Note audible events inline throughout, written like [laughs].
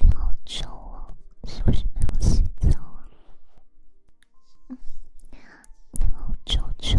你好臭哦，是不是没有洗澡啊？你好臭臭。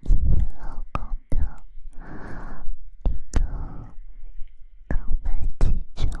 你的老公的，你的刚买几寸？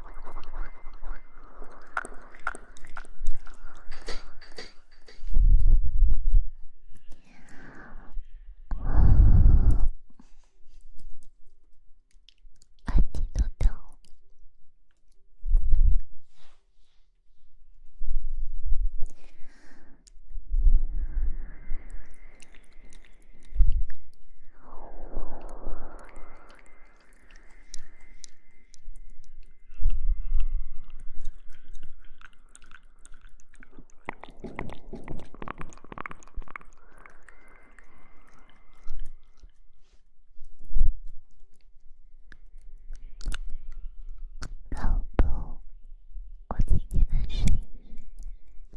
I did not know. あ老婆，我听见声音。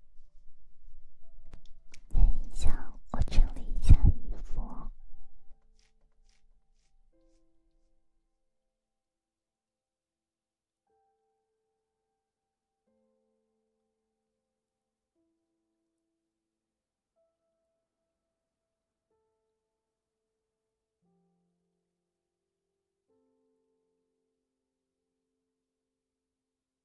等一下，我整理一下衣服。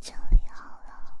整 [laughs] 理好了。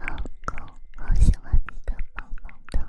老公，好喜欢你的毛毛的。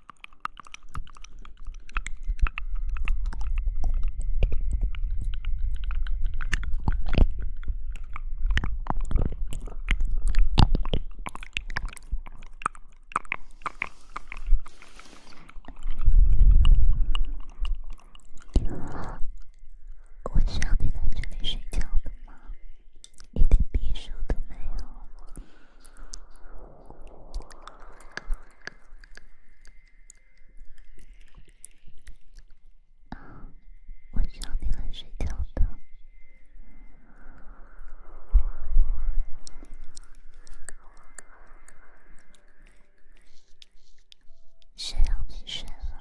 我需要你在这里睡觉的吗？一点避暑都没有。我叫你来睡觉的，谁让你睡了？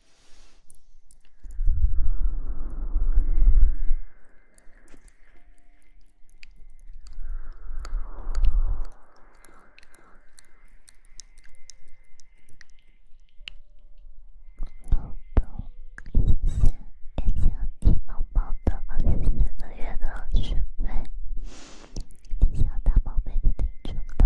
感谢感谢李毛毛的二十四个月的学费，谢谢大宝贝的捐助。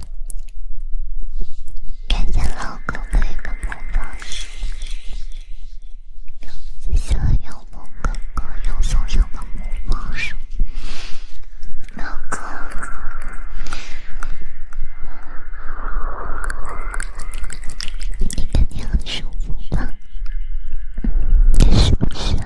感谢老哥的陪伴，谢谢我有梦的哥，有松松的梦梦叔，老哥，你肯定很舒服吧？是不是啊？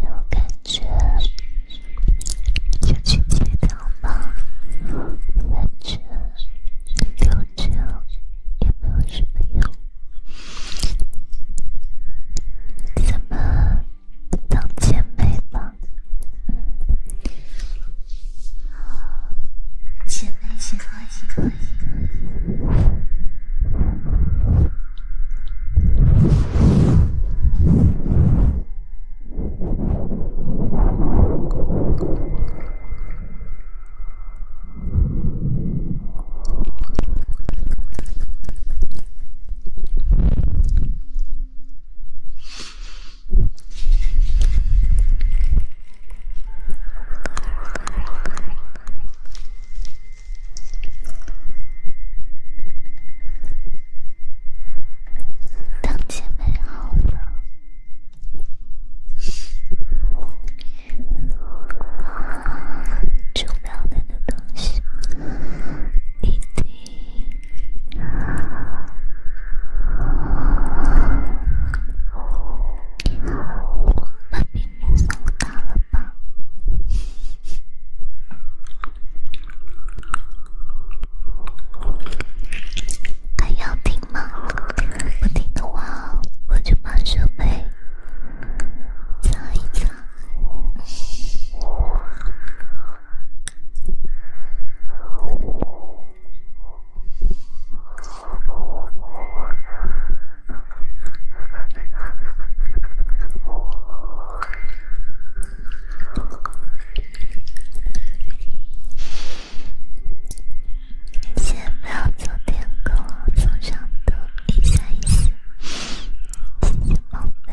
有感觉就去接他吧，感觉留着也没有什么用，咱们当姐妹吧。姐妹，可以可以。等姐妹好了，重要点的东西一定。我声音太大了吧？还要听吗？不听的话，我就把设备藏一藏。先不要做舔狗，做上头一下一次，亲亲宝贝。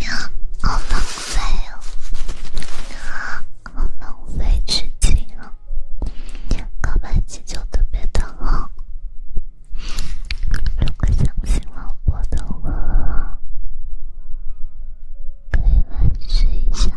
呀，好浪费哦！好浪费时间哦！告白气球特别的如果相信老婆的我，快来睡觉。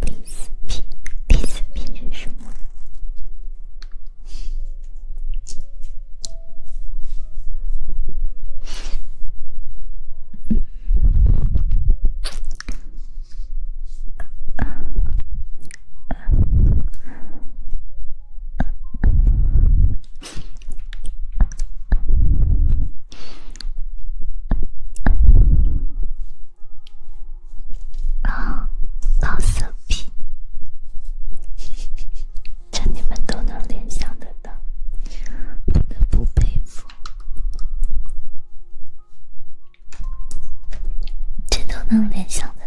利斯皮，利斯皮是什么？啊，老色批，这你们都能联想得到，不得不佩服，这都能联想得到。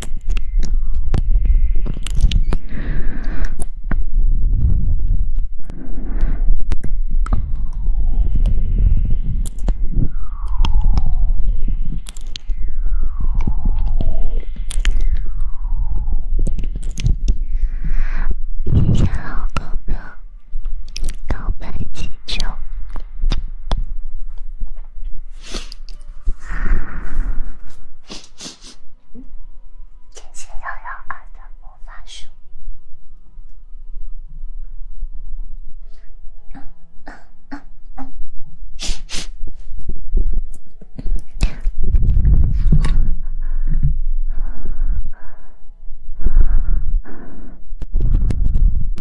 你好，哥哥，告白气球。天线宝宝二的魔法书。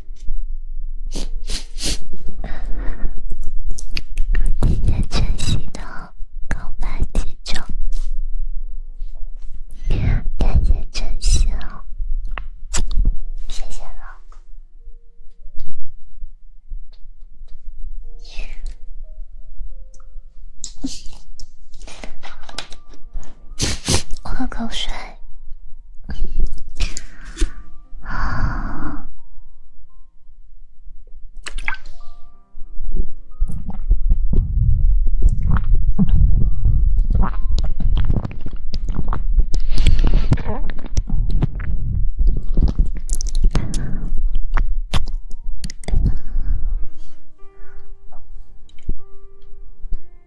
感谢晨曦的购买金砖，感谢晨曦哦，谢谢了。[laughs] 喝口水。什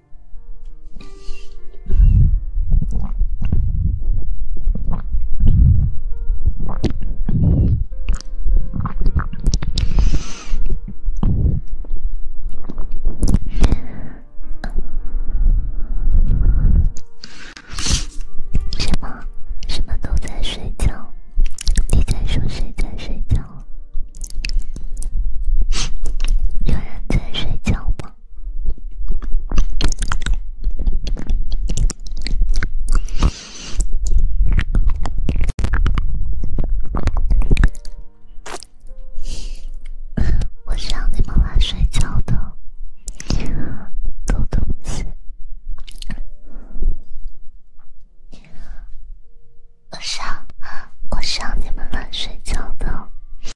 么？什么都在睡觉？你在说谁在睡觉？有人在睡觉吗？我是让你们来睡觉的，狗东西！我是，我是让你们来睡觉的。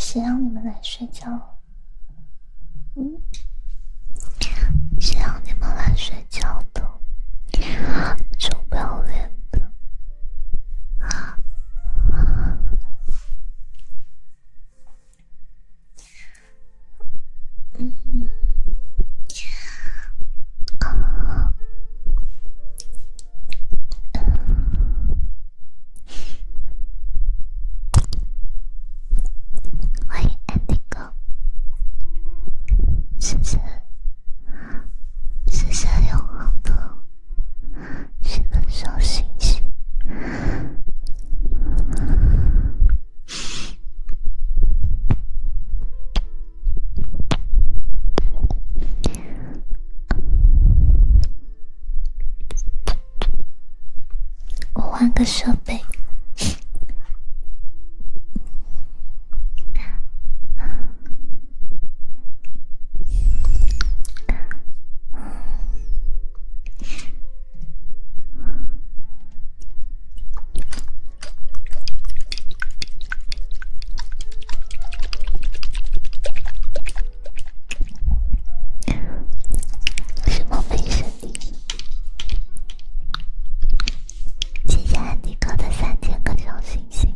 谁让你们来睡觉？嗯，谁让你们来睡觉的？臭不要脸的！嗯，好，我爱安迪哥，谢谢，谢谢永恒的七个小星星。我换个设备。什么没声音？谢谢安迪哥的三千颗小星星。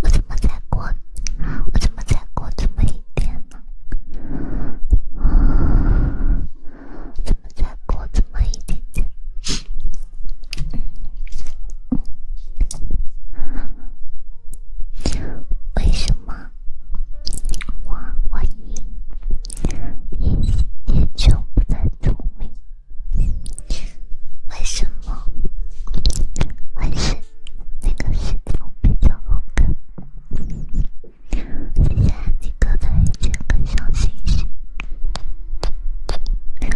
我怎么才过？我怎么才过这么一点呢？怎么才过这么一点点？为什么我我眼眼眼球不太聪明？为什么？还是那个石头比较好看？下几个白几个小星星。等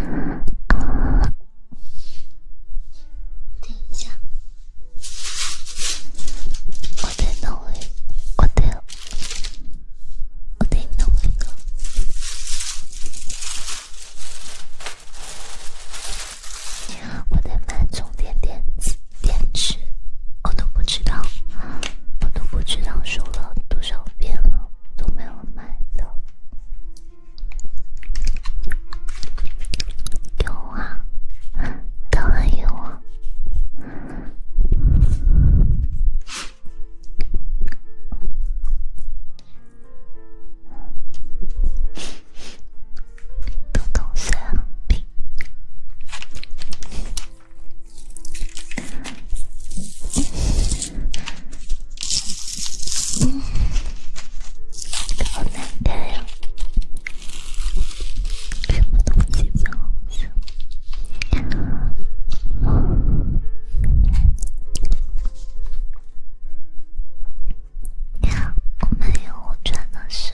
一下，我得努力，我得，我得努力呢。我得慢充电电池。电池，我都不知道，我都不知道说了多少遍了，都没有买的。有啊，当然有啊。豆豆馅饼。好难看呀，什么都不记得了。呀，我没有，我真的是。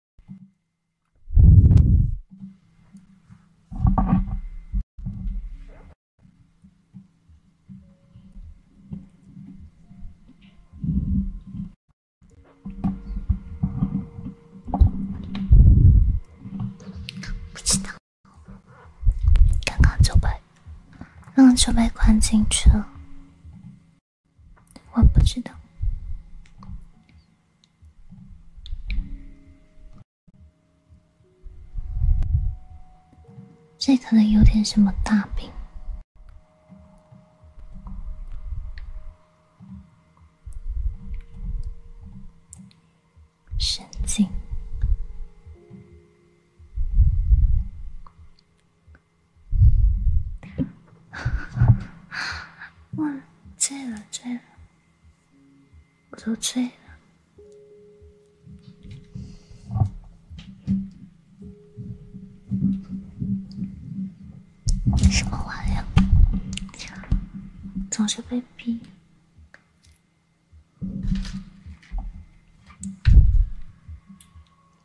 不知道，刚刚就被，就被关进去了。我不知道，这可能有点什么大病，神经。[laughs] 醉了，醉了，我都醉了。什么玩意？总是被逼。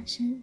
发生。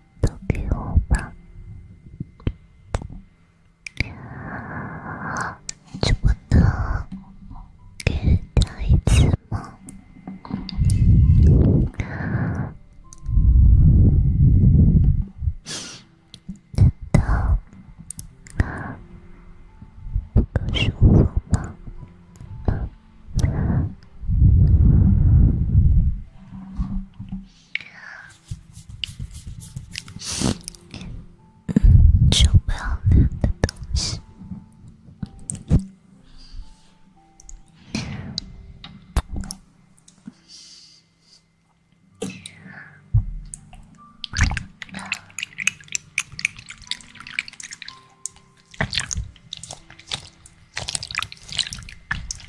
都给我吧，就不能给它一次吗？难道不够舒服吗？就不要那样的东西。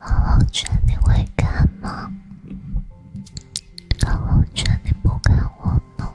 浩辰，你会看吗？浩辰，你不看我吗？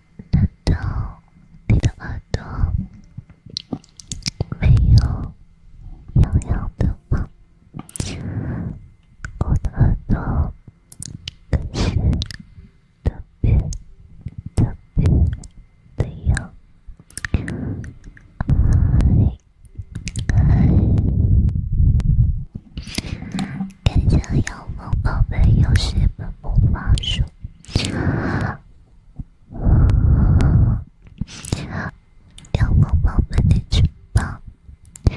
难道你的耳朵没有痒痒的吗？我的耳朵可是特别、特别不一样。哎哎。感谢妖梦宝贝有十本魔法书，妖梦宝贝的去吧。没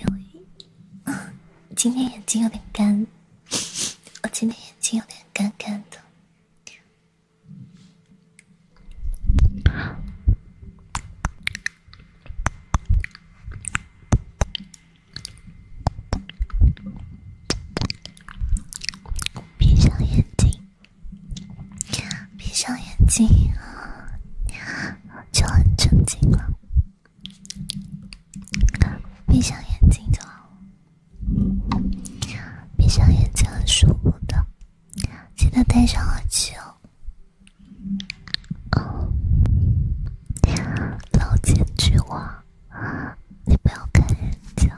有，今天眼睛有点干，我今天眼睛有点干干的。闭上眼睛，闭上眼睛啊，就很正经了。闭上眼睛就。好。闭上眼睛很舒服的，记得带上耳机哦。哦，老奸巨猾，你不要看人家，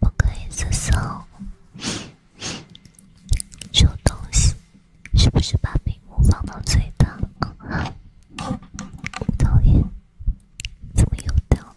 不可以自首，收东西，是不是把屏幕放到最大？[laughs] 讨厌，怎么又掉？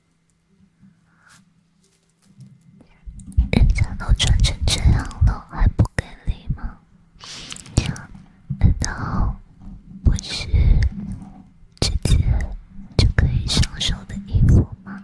人家都穿成这样了，还不给力吗？难道不是直接就可以上手的衣服吗？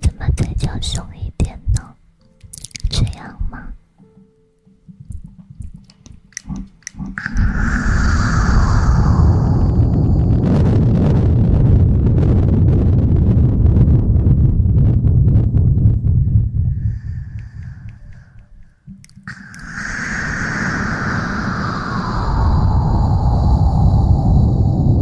怎么再叫凶一点呢？这样吗？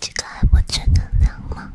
这个还不正能量吗？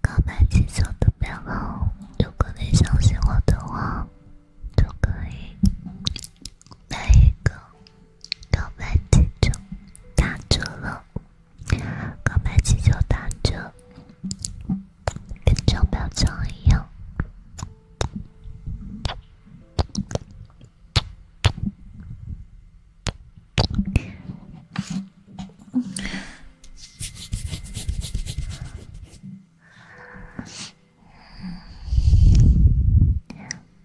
告白气球都买了，如果你相信我的话，都可以买一个。告白气球打折了，告白气球打折，跟钞票一样。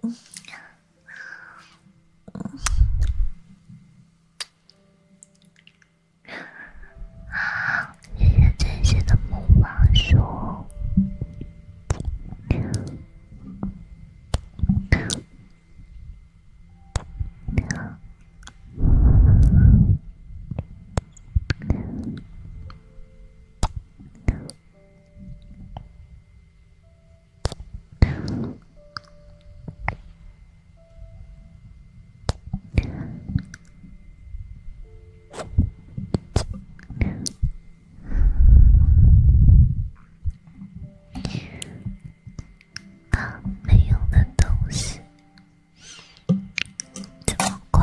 嗯，好，谢谢真心的木马叔。啊，没用的东西，这么乖。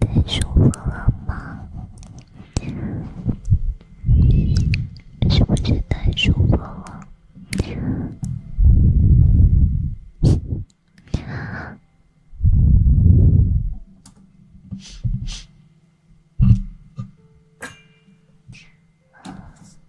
太舒服了吗？是不是太舒服了？[laughs]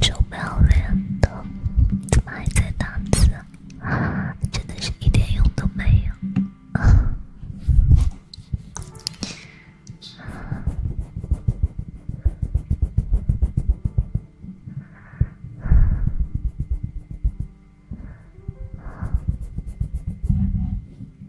臭不要脸的，怎么还在打字？真的是一点用都没有。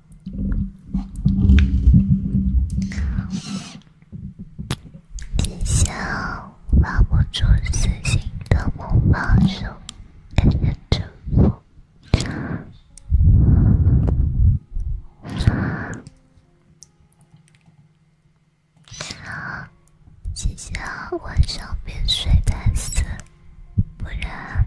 姐姐，拉不住死心的木马手，认认真真。姐姐，晚上别睡太死，不然。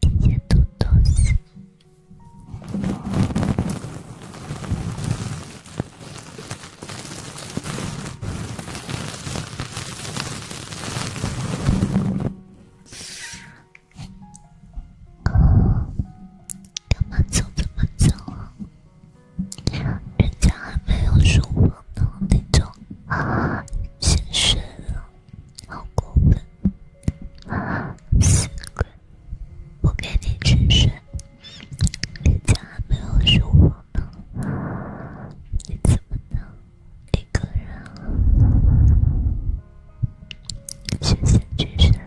一谢豆豆。啊，走？怎么走？人家还没有说话呢，你就啊，先睡了，好过分，死鬼，我给你去睡。人家还没有说话呢，你怎么能一个人啊？先先去睡了。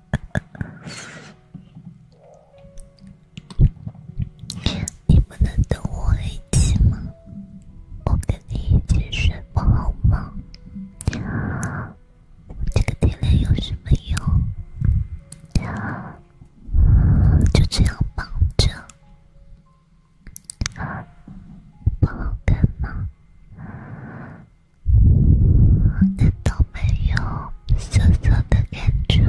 你不能等我一起吗？我跟你一起睡不好吗？这个电量有什么用？就这样抱着，不好看吗？难道没有羞涩的感觉？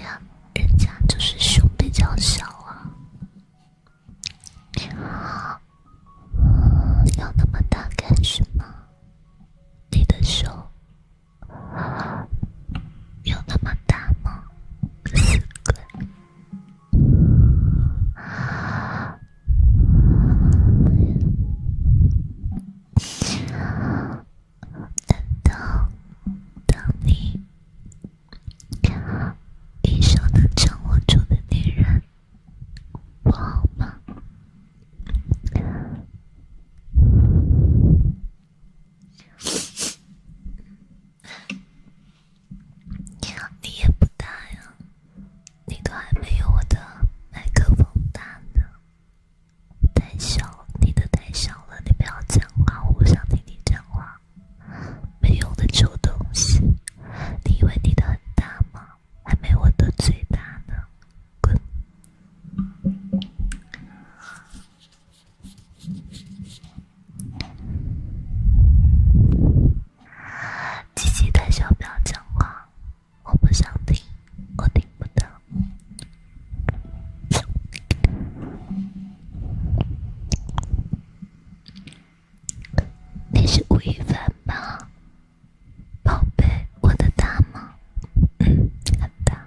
呀，人家就是胸比较小啊，要那么大干什么？你的胸。有那么大吗？难道当你一生能掌握住的女人不好吗？你也不大呀，你都还没有我的麦克风大呢，太小你的太小了，你不要讲话，我想听你讲话，没用的臭东西，你以为你的很大吗？还没我的最大呢，滚！积极的小表情话，我不想听，我听不到。你是吴亦凡吗，宝贝，我的大吗？嗯，很大。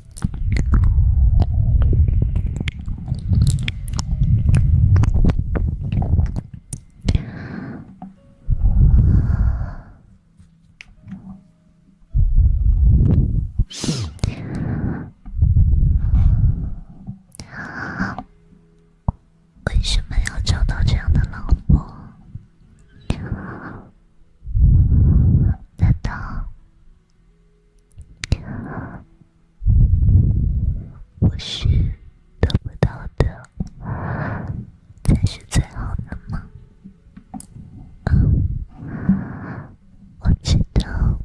为什么要找到这样的老婆？难道我是得不到的，才是最好的吗？我知道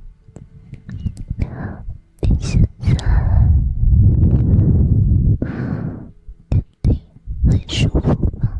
你现在肯定很舒服吧。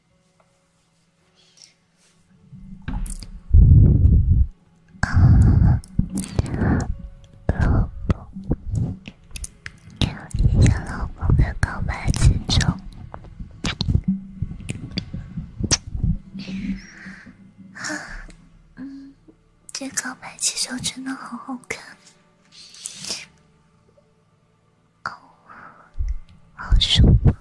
老公，一公，老公的告白气球。嗯，这告白气球真的好好看。哦，好舒服！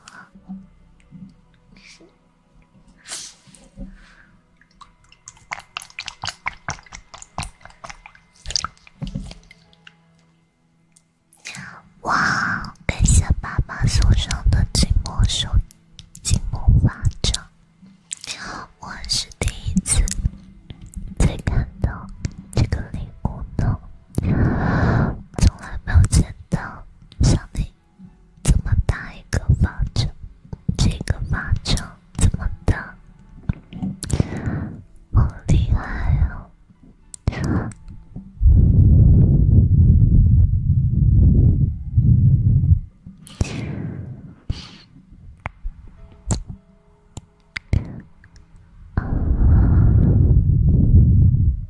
哇，感谢爸爸送上的“金寞手，金寞花枕”，我还是第一次在看到这个礼物呢。从来没有见到像你这么大一个巴掌，这个巴掌这么大，好厉害啊！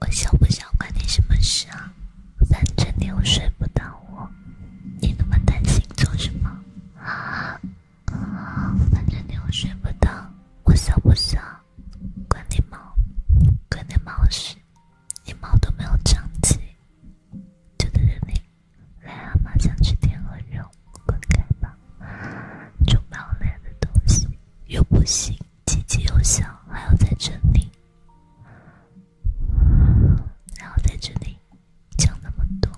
我想不想关你什么事啊？反正你又睡不到我你那么担心做什么？反正你又睡不到我想不想关你毛关你毛事，你毛都没有长齐。就在这里，癞蛤蟆想吃天鹅肉，滚开吧！这么累的东西又不行，唧唧又小，还要在这里，还要在这里讲那么多。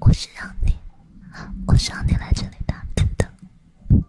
我是让你，我是让你来这里打工的。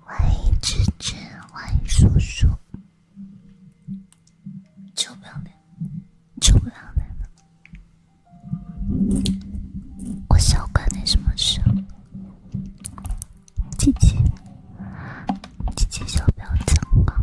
欢迎侄侄，欢迎叔叔。臭不要脸，臭不要脸的。我少管你什么事。姐姐，姐姐，臭不要脸啊！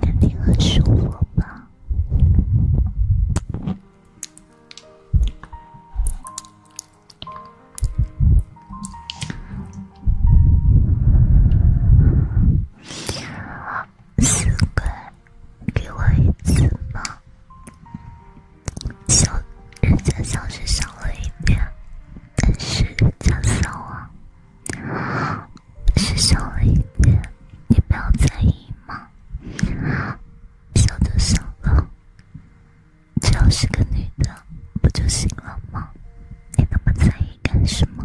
肯定很舒服吧。四块，给我一次吗？小，人家小是小了一遍，但是较小啊，是小了一遍，你不要在意吗？小就小了。只要是个女的，不就行了吗？你那么在意干什么？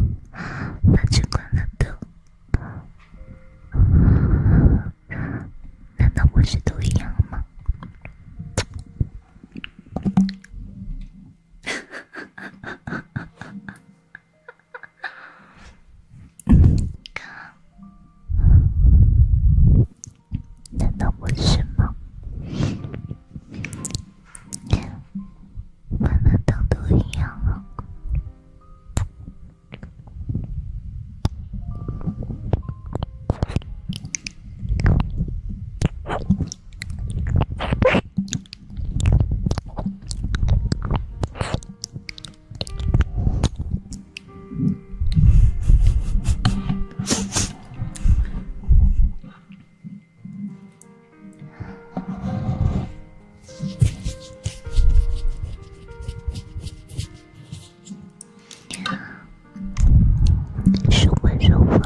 反正关了灯，难道不是都一样吗？难道不是吗？难道都一样了？舒服舒服，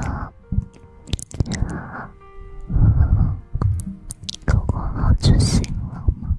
过过好就行了吗？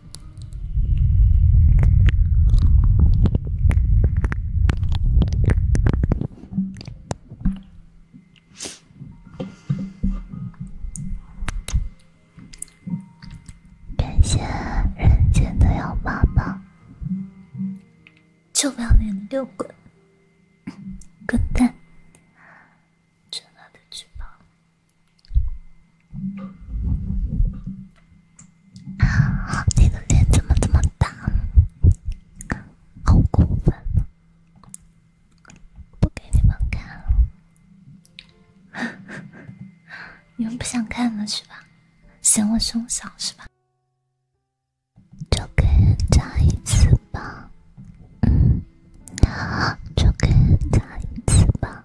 感谢人间的幺爸爸，就不要你们六个，个蛋，张大的去吧。啊！[laughs] 你的脸怎么这么大？好过分！不给你们看了，[laughs] 你们不想看了是吧？嫌我胸小是吧？就给人家一次吧，嗯，就给人家一次吧。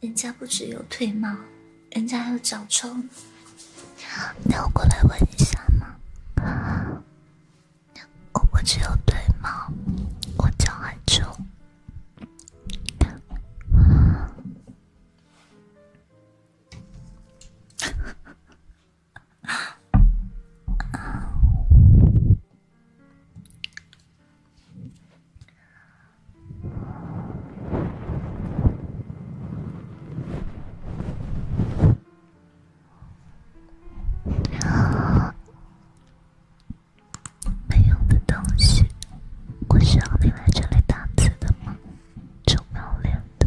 人家不只有腿毛，人家还有脚臭。你我过来闻一下吗？我只有腿毛，我脚还臭。[laughs] 啊！没用的东西，我需要你来这里打字的吗？臭不要脸的。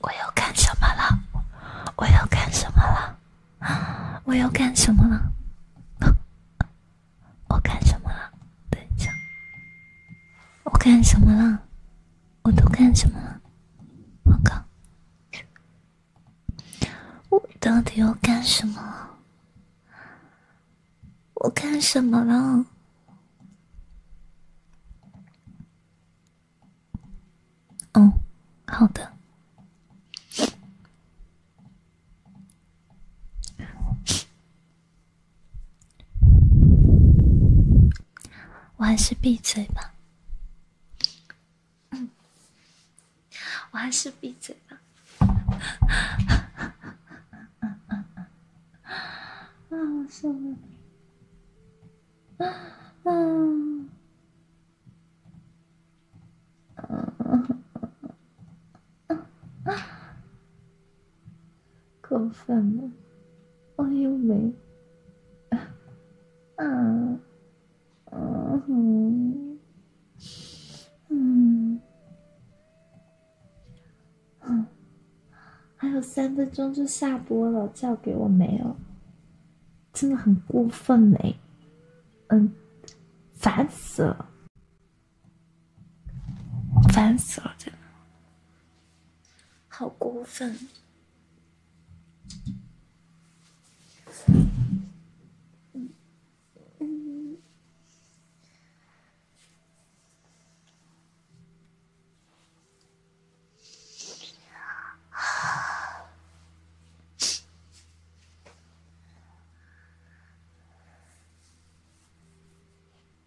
我要干什么了？我要干什么了？[gasps] 我要干什么了？我干什么了？等一下，我干什么了？我都干什么了？我靠！我到底要干什么？我干什么了？哦，好的。我还是闭嘴吧。嗯，我还是闭嘴吧。啊，受不了！啊啊啊！过 [laughs] 分了，我又没啊啊啊！嗯，还有三分钟就下播了，叫给我没有？真的很过分哎，嗯，烦死了。烦死了，真的，好过分！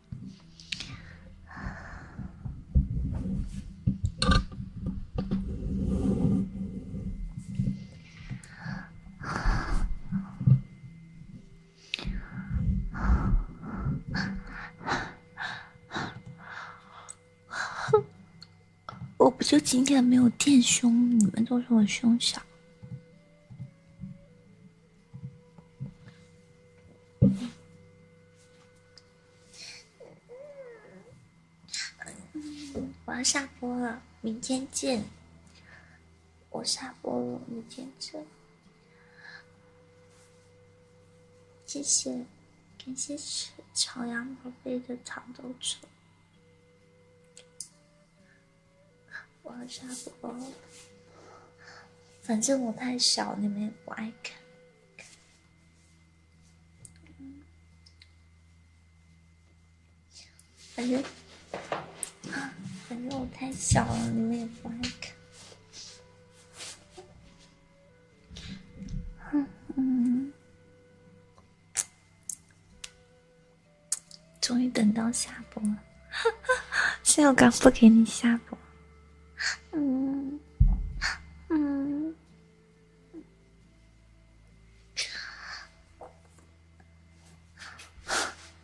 [laughs] 我不就今天没有垫胸，你们都说我胸小。[laughs] 嗯，我要下播了，明天见。我下播了，明天见。谢谢，感谢朝阳宝贝的糖豆车。我要下播了，反正我太小，你们也不爱看。反正，反正我太小了，你们也不爱看。终于等到下播了，[laughs] 幸好刚不给你下播。嗯嗯，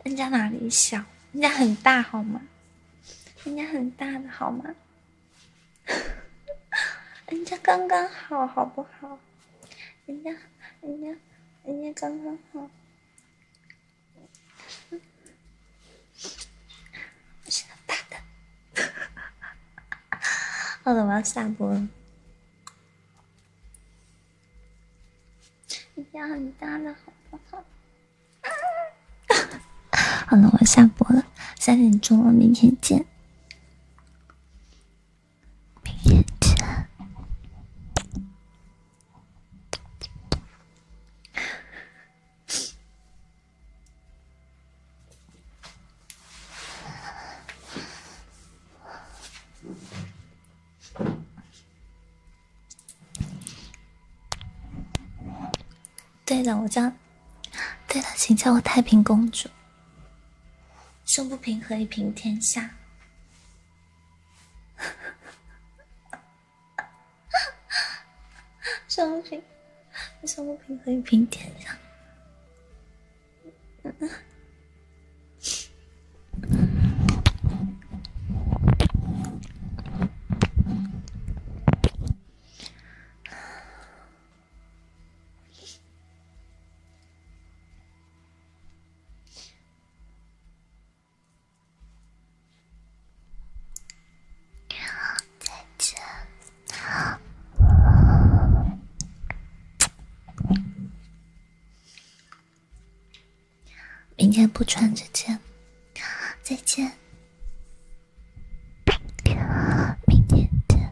人家哪里小？人家很大好吗？人家很大的好吗？[laughs] 人家刚刚好好不好？人家人家人家刚刚好。是很大的，好了，我要下播了。一要很大的，好不好？[laughs] 好了，我要下播了，三点钟了，明天见，明天见。对的，我叫，对的，请叫我太平公主。生不平，何以平天下？上不平，上不平和一平点一样。再见。明天不穿这件，再见。明天见。